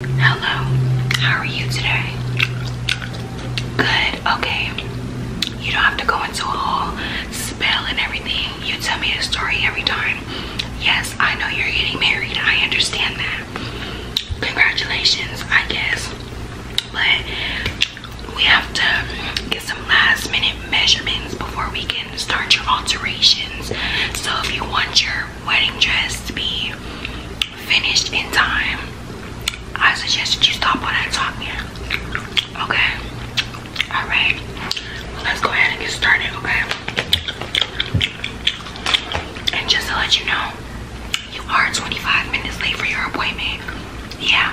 Hello, how are you today? Good, okay. You don't have to go into a whole spell and everything. You tell me a story every time. Yes, I know you're getting married. I understand that. Congratulations, I guess. But we have to get some last minute measurements before we can start your alterations. So if you want your wedding dress to be finished in time, I suggest that you stop all that talking. Okay? Alright. Let's go ahead and get started, okay? And just to let you know, you are 25 minutes late for your appointment. Yeah.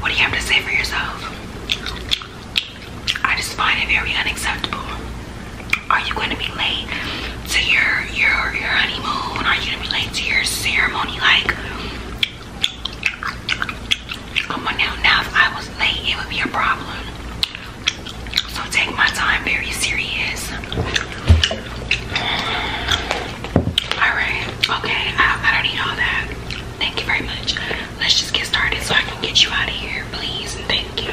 What do you have to say for yourself? I just find it very unacceptable are you going to be late to your your your honeymoon? Are you going to be late to your ceremony? Like, come on now. Now, if I was late, it would be a problem. So take my time very serious. All right. Okay. I, I don't need all that. Thank you very much. Let's just get started so I can get you out of here please, and thank you.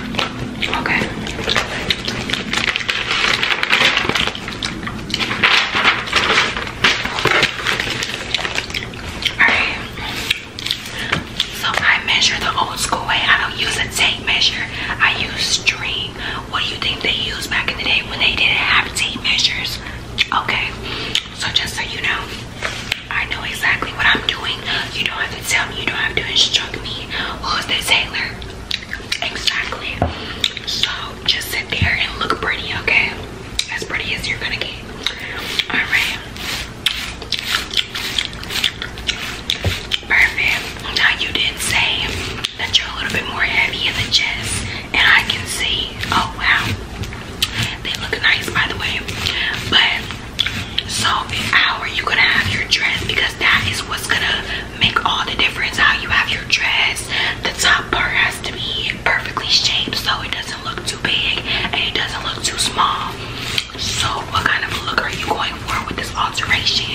Okay. Alright. So I measure the old school way. I don't use a tape measure. I use string. What do you think they used back in the day when they didn't have tape measures? Okay. So just so you know. I know exactly what I'm doing. You don't have to tell me. You don't have to instruct me. Who's this Taylor? Exactly. So just sit there and look pretty, okay? As pretty as you're gonna get. Alright. Perfect. Now you did say that you're a little bit more heavy in the chest. And I can see. Oh wow. They look nice by the way. But so in hour you're gonna have your dress because that is what's gonna make all the difference. How you have your dress, the top part has to be perfectly shaped so it doesn't look too big and it doesn't look too small. So what kind of look are you going for with this alteration?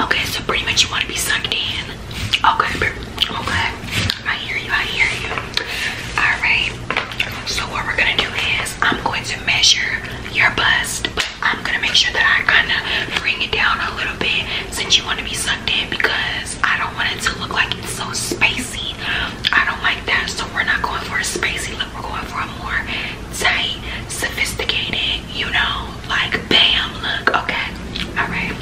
Okay, so pretty much you wanna be sucked in. Okay, okay. I hear you, I hear you. Alright, so what we're gonna do is I'm going to measure your bust, but I'm gonna make sure that I kind of bring it down a little bit since you want to be sucked in because I don't want it to look like it's so spacey. I don't like that, so we're not going for a spacey look, we're going for a more tight, sophisticated, you know, like bam look, okay? Alright.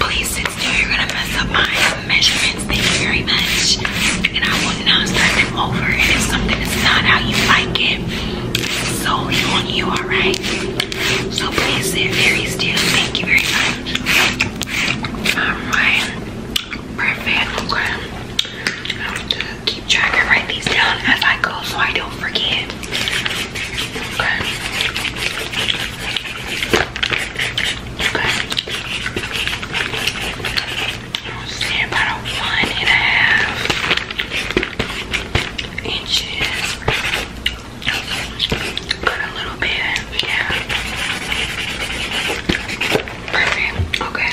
Please, sister, you're gonna mess up my measurements. Thank you very much. And I will now start them over. if something is not how you like it, it's on you, alright? So please sit very still. Thank you very much. Alright. Perfect. Okay. I'm to keep track and write these down as I go so I don't forget. I'm about one and a half inches. Cut a little bit, yeah. Perfect, okay.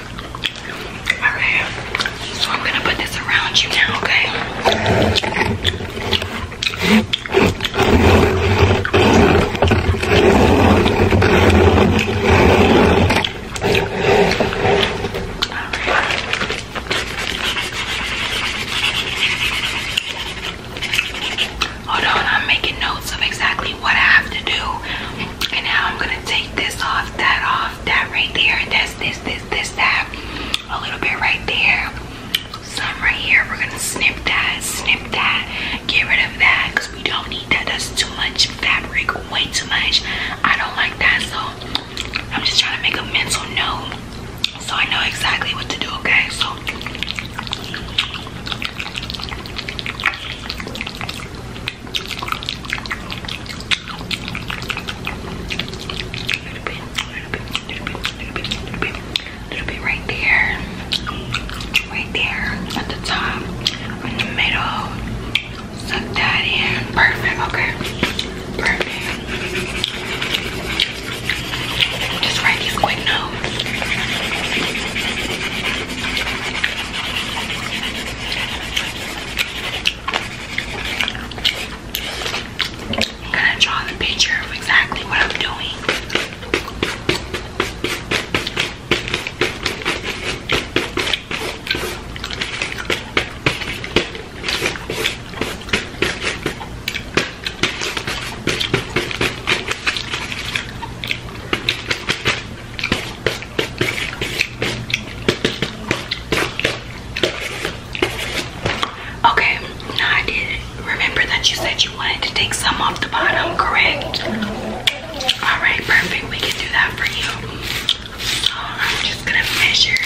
Alright. So I'm gonna put this around you now, okay? Hold on, I'm making notes of exactly what I have to do and now I'm gonna take this off, that off, that right there, that's this, this, this, that, a little bit right there, some right here. We're gonna snip that, snip that, get rid of that, cause we don't need that. That's too much fabric, way too much. I don't like that, so I'm just trying to make a mental note so I know exactly what to do. Okay, so. Little bit right there, right there at the top, in the middle. Suck that in. Perfect. Okay. Perfect. Just write these quick notes. I'm gonna draw the picture of exactly what I'm doing. Okay, now I did remember that you said you wanted to take some off the bottom, correct? Alright, perfect. We can do that for you. Uh, I'm just gonna measure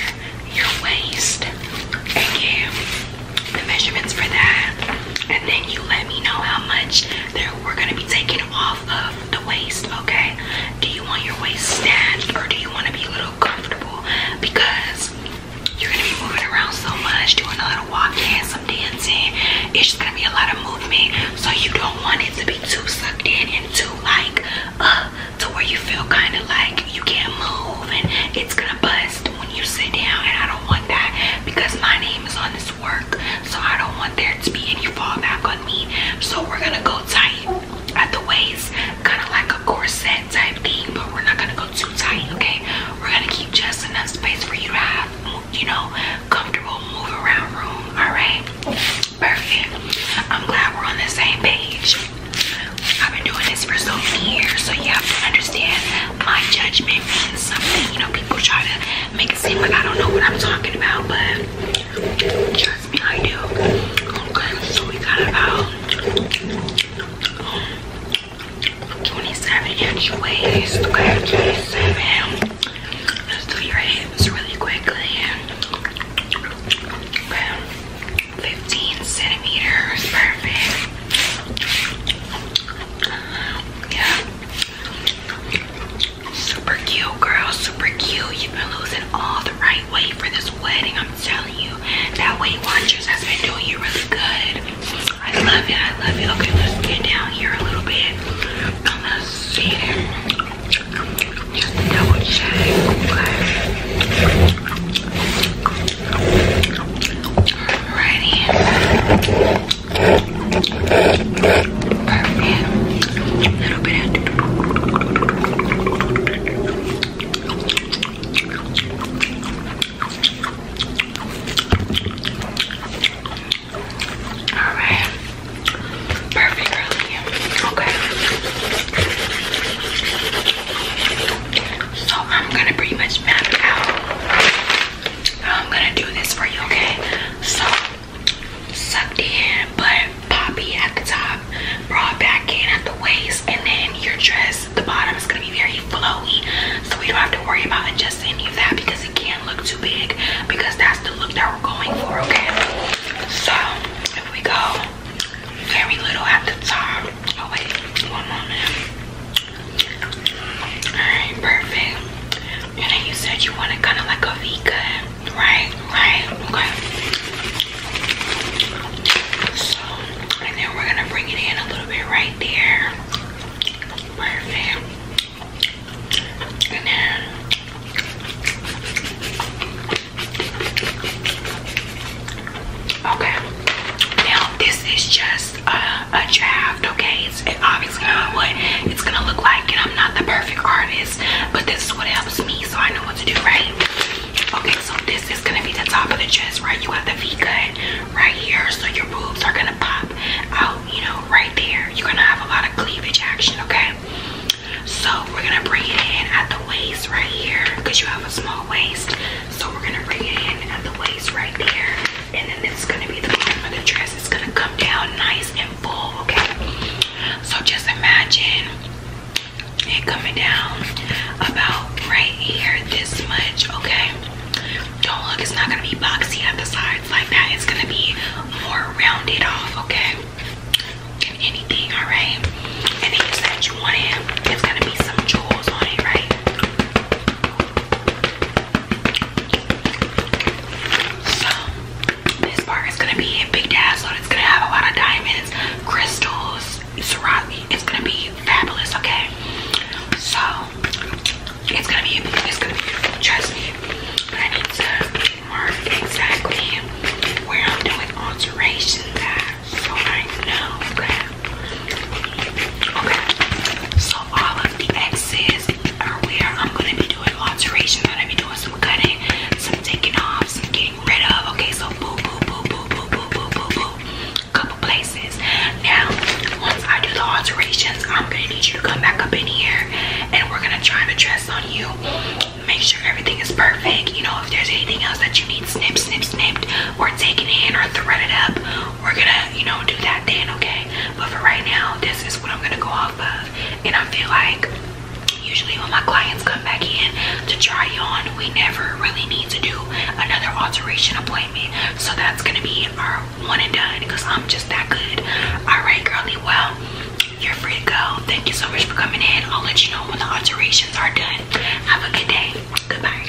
your waist and give the measurements for that. And then you let me know how much that we're gonna be taking off of the waist, okay? Do you want your waist snatched or do you want to be a little comfortable? Because you're gonna be moving around so much, doing a little walking, some dancing. It's just gonna be a lot of movement. So you don't want it to be too sucked in and too like uh to where you feel kind of like you can't move and it's gonna bust when you sit down and I don't want that because my name is on this work, so I don't want there to be any fallback on me. So we're gonna go tight at the waist, kind of like a corset type thing, but we're not gonna go too tight, okay? We're gonna keep just enough space for you to have, you know, comfortable move around room, all right? Perfect. I'm glad we're on the same page. I've been doing this for so many years, so you have to understand my judgment means something. You know, people try to make it seem like I don't know what I'm talking about, but trust me, I do. Okay, so we got about 27 inch waist. Let's do your hips really quickly. Okay, 15 centimeters. Perfect. Yeah. Super cute, girl. Super cute. You've been losing all the right weight for this wedding. I'm telling you. That Weight Watchers has been doing you really good. I love it. I love it. Okay, let's get down here a little bit. I'm gonna see it. Just double check. Okay. Alrighty. Perfect. A little bit Alright. Perfect Okay. So I'm gonna pretty much map out. I'm gonna do this for you, okay? So sucked in, but poppy at the top, brought back in at the waist, and then your dress, the bottom is gonna be very flowy. So we don't have to worry about adjusting any of that because it can't look too big because that's the look that we're going for, okay? So if we go very little at the top. Oh wait, one moment. Alright, perfect. And then you said you want it kind of like a cut, right? Right? Okay. So, and then we're gonna bring it in a little bit right there. Perfect. And then. Okay. Now, this is just uh, a, draft, okay? It's obviously not what it's gonna look like, and I'm not the perfect artist, but this is what helps me, so I know what to do, right? Okay, so this is gonna be the top of the chest, right? You have the V cut right here, so your boobs are gonna pop out, you know, right there. You're gonna have a lot of cleavage action, okay? So we're gonna bring it in at the waist right here, because you have a small waist. So we're gonna bring it in at the waist right there and then this is gonna be the bottom of the dress. It's gonna come down nice and full, okay? So just imagine it coming down about right here, this much, okay? Don't look, it's not gonna be boxy at the sides like that. It's gonna be more rounded off, okay? Than anything, alright? And then you said you want it, it's gonna be some jewels on it, right? So this part is gonna be a big dazzle. It's gonna have a lot of diamonds, crystals, Swarovski. It's gonna be fabulous, okay? So it's gonna be it's gonna be beautiful, trust me. But I need to mark exactly where I'm doing alterations at so I know that Okay, so all of the X's are where I'm gonna be doing alterations. I'm gonna be doing some cutting, some taking off, some getting rid of. Okay, so boo, boo, boo, boo, boo, boo, boo, boo, boo, couple places. Now, once I do the alterations, I'm gonna need you to come back up in here, and we're gonna try the dress on you. Make sure everything is perfect. You know, if there's anything else that you need snip, snip, snipped, or taken in, or threaded up, we're gonna, you know, do that then. Okay. But for right now, this is what I'm gonna go off of. And I feel like usually when my clients come back in to try on, we never really need to do another alteration appointment. So that's gonna be our one and done because I'm just that good. All right, girly, well, you're free to go. Thank you so much for coming in. I'll let you know when the alterations are done. Have a good day. Goodbye.